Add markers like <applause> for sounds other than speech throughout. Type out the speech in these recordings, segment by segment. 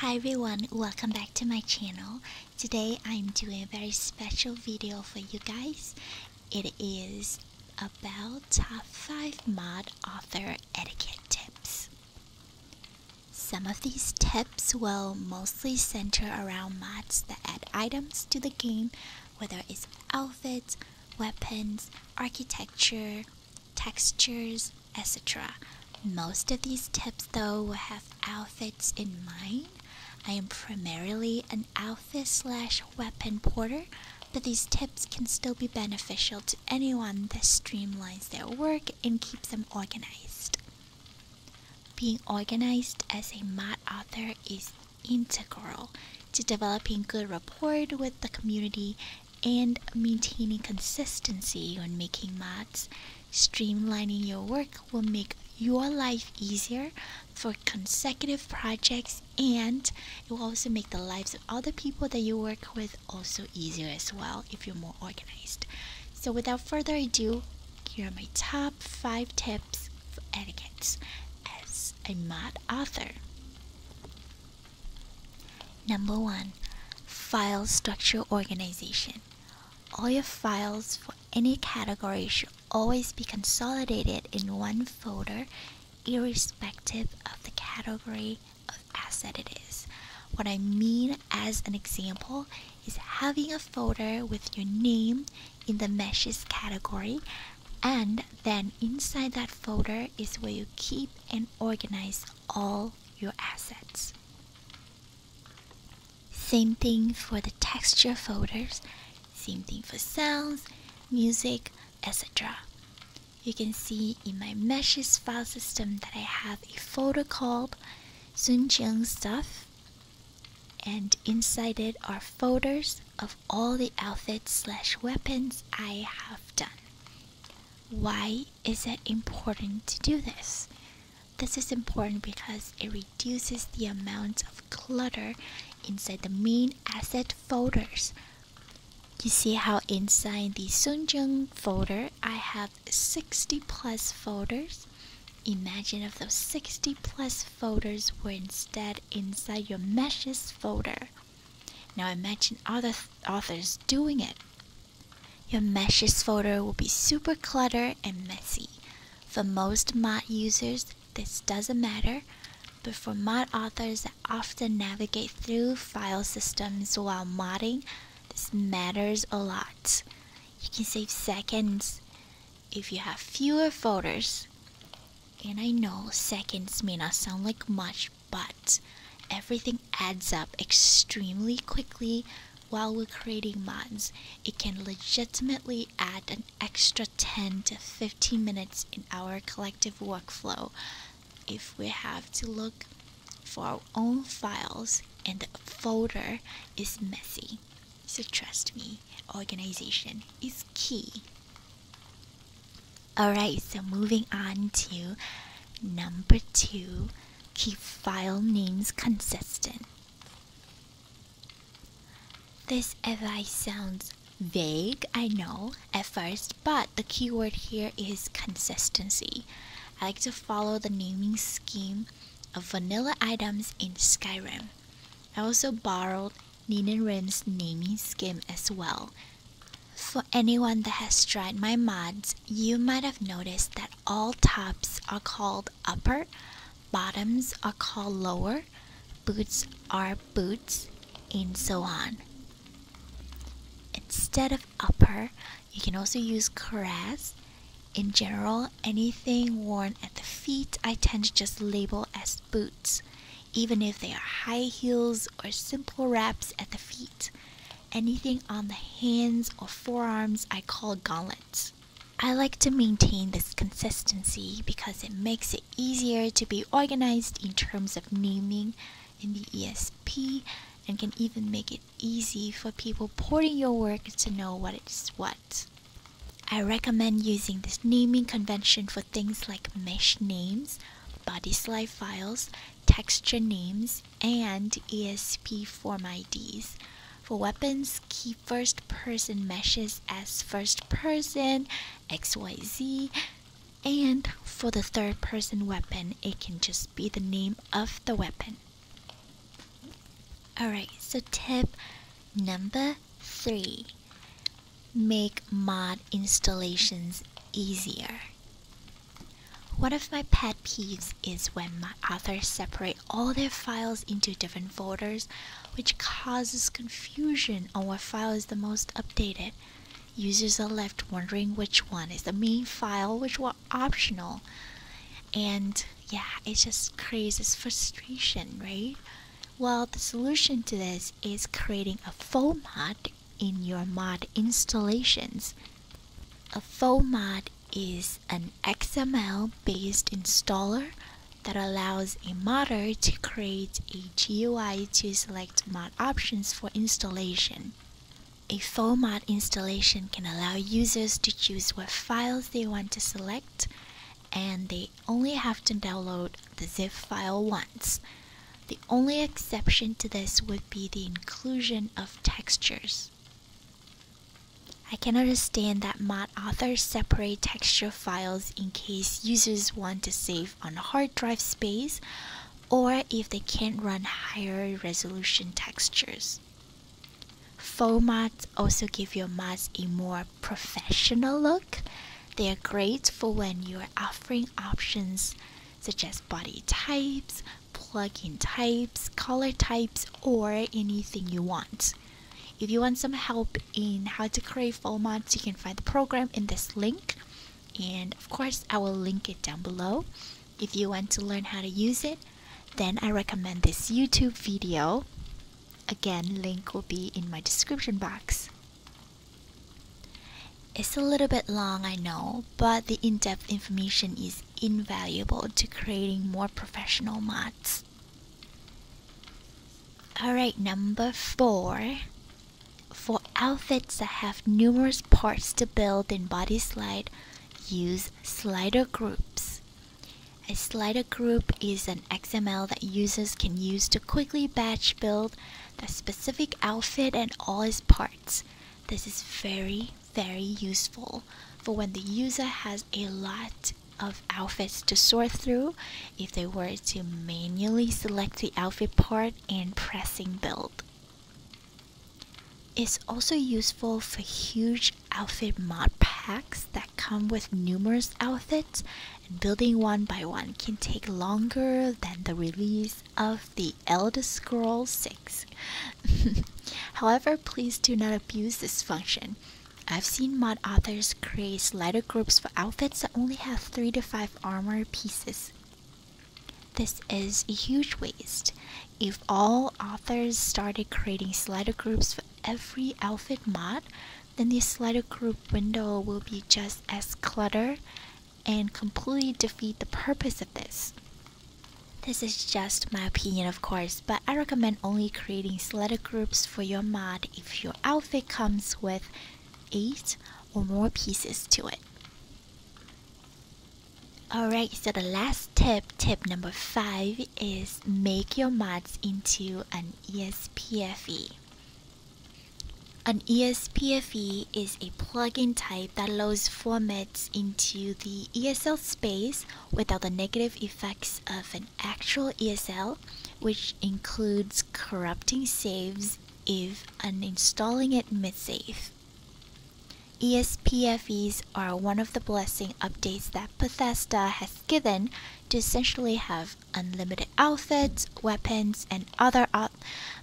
Hi everyone, welcome back to my channel. Today I'm doing a very special video for you guys. It is about top 5 mod author etiquette tips. Some of these tips will mostly center around mods that add items to the game, whether it's outfits, weapons, architecture, textures, etc. Most of these tips, though, will have outfits in mind. I am primarily an outfit slash weapon porter, but these tips can still be beneficial to anyone that streamlines their work and keeps them organized. Being organized as a mod author is integral to developing good rapport with the community and maintaining consistency when making mods, Streamlining your work will make your life easier for consecutive projects and it will also make the lives of other people that you work with also easier as well if you're more organized. So without further ado, here are my top 5 tips for etiquette as a mod author. Number one, file structure organization. All your files for any category should always be consolidated in one folder, irrespective of the category of asset it is. What I mean as an example is having a folder with your name in the meshes category and then inside that folder is where you keep and organize all your assets. Same thing for the texture folders, same thing for sounds, music, etc. You can see in my meshes file system that I have a folder called Suncheon stuff and inside it are folders of all the outfits slash weapons I have done. Why is it important to do this? This is important because it reduces the amount of clutter inside the main asset folders. You see how inside the Sunjung folder I have 60 plus folders? Imagine if those 60 plus folders were instead inside your meshes folder. Now imagine other authors doing it. Your meshes folder will be super clutter and messy. For most mod users, this doesn't matter, but for mod authors that often navigate through file systems while modding, this matters a lot. You can save seconds if you have fewer folders. And I know seconds may not sound like much, but everything adds up extremely quickly while we're creating mods. It can legitimately add an extra 10 to 15 minutes in our collective workflow if we have to look for our own files and the folder is messy. So trust me, organization is key. Alright, so moving on to number two keep file names consistent. This advice sounds vague, I know, at first, but the keyword here is consistency. I like to follow the naming scheme of vanilla items in Skyrim. I also borrowed Ninarin's naming scheme as well. For anyone that has tried my mods, you might have noticed that all tops are called upper, bottoms are called lower, boots are boots, and so on. Instead of upper, you can also use caress. In general, anything worn at the feet I tend to just label as boots, even if they are high heels or simple wraps at the feet. Anything on the hands or forearms I call gauntlets. I like to maintain this consistency because it makes it easier to be organized in terms of naming in the ESP and can even make it easy for people porting your work to know what it's what. I recommend using this naming convention for things like mesh names, body slide files, texture names, and ESP form IDs. For weapons, keep first person meshes as first person, XYZ, and for the third person weapon, it can just be the name of the weapon. Alright, so tip number three make mod installations easier. One of my pet peeves is when my authors separate all their files into different folders, which causes confusion on what file is the most updated. Users are left wondering which one is the main file, which one optional. And yeah, it just creates frustration, right? Well, the solution to this is creating a folder mod in your mod installations. A FOMAD is an XML-based installer that allows a modder to create a GUI to select mod options for installation. A FOMOD installation can allow users to choose what files they want to select and they only have to download the zip file once. The only exception to this would be the inclusion of textures. I can understand that mod authors separate texture files in case users want to save on hard drive space or if they can't run higher resolution textures. Formats also give your mods a more professional look. They are great for when you are offering options such as body types, Plugin types, color types, or anything you want. If you want some help in how to create formats, you can find the program in this link. And of course, I will link it down below. If you want to learn how to use it, then I recommend this YouTube video. Again, link will be in my description box. It's a little bit long, I know, but the in-depth information is invaluable to creating more professional mods. Alright, number four. For outfits that have numerous parts to build in body slide, use slider groups. A slider group is an XML that users can use to quickly batch build the specific outfit and all its parts. This is very, very, useful for when the user has a lot of outfits to sort through if they were to manually select the outfit part and pressing build. It's also useful for huge outfit mod packs that come with numerous outfits and building one by one can take longer than the release of the Elder Scrolls 6 <laughs> However, please do not abuse this function. I've seen mod authors create slider groups for outfits that only have 3 to 5 armor pieces. This is a huge waste. If all authors started creating slider groups for every outfit mod, then the slider group window will be just as cluttered and completely defeat the purpose of this. This is just my opinion of course, but I recommend only creating selected groups for your mod if your outfit comes with 8 or more pieces to it. Alright, so the last tip, tip number 5 is make your mods into an ESPFE. An ESPFE is a plugin type that allows formats into the ESL space without the negative effects of an actual ESL, which includes corrupting saves if uninstalling it mid-save. ESPFEs are one of the blessing updates that Bethesda has given to essentially have unlimited outfits, weapons, and other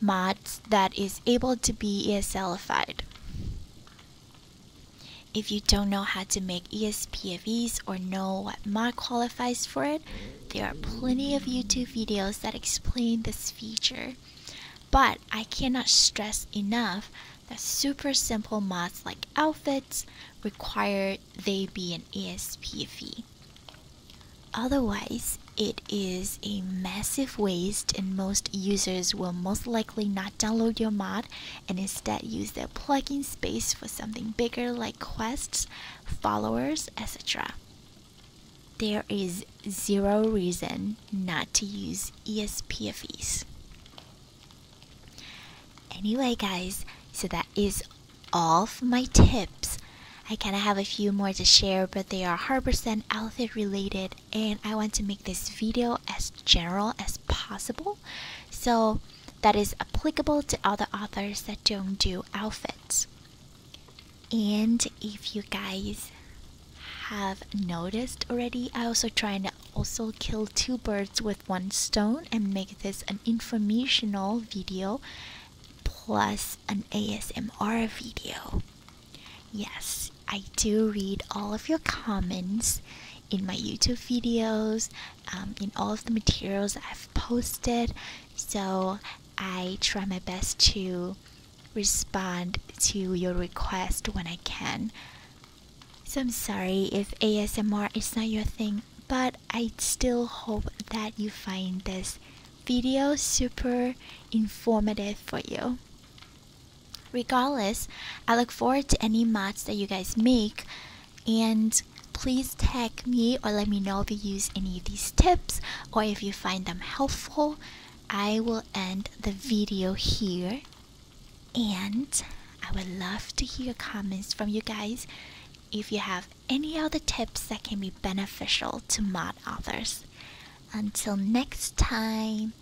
mods that is able to be ESLified. If you don't know how to make ESPFEs or know what mod qualifies for it, there are plenty of YouTube videos that explain this feature. But I cannot stress enough that super simple mods like outfits require they be an ESPFE. Otherwise, it is a massive waste and most users will most likely not download your mod and instead use their plugin space for something bigger like quests, followers, etc. There is zero reason not to use ESPFEs. Anyway guys, so that is all of my tips. I kind of have a few more to share, but they are Harbor Sand outfit related and I want to make this video as general as possible so that is applicable to other authors that don't do outfits. And if you guys have noticed already, I also try to also kill two birds with one stone and make this an informational video plus an ASMR video. Yes, I do read all of your comments in my YouTube videos, um, in all of the materials I've posted. So I try my best to respond to your request when I can. So I'm sorry if ASMR is not your thing, but I still hope that you find this video super informative for you. Regardless, I look forward to any mods that you guys make and please tag me or let me know if you use any of these tips or if you find them helpful. I will end the video here and I would love to hear comments from you guys if you have any other tips that can be beneficial to mod authors. Until next time,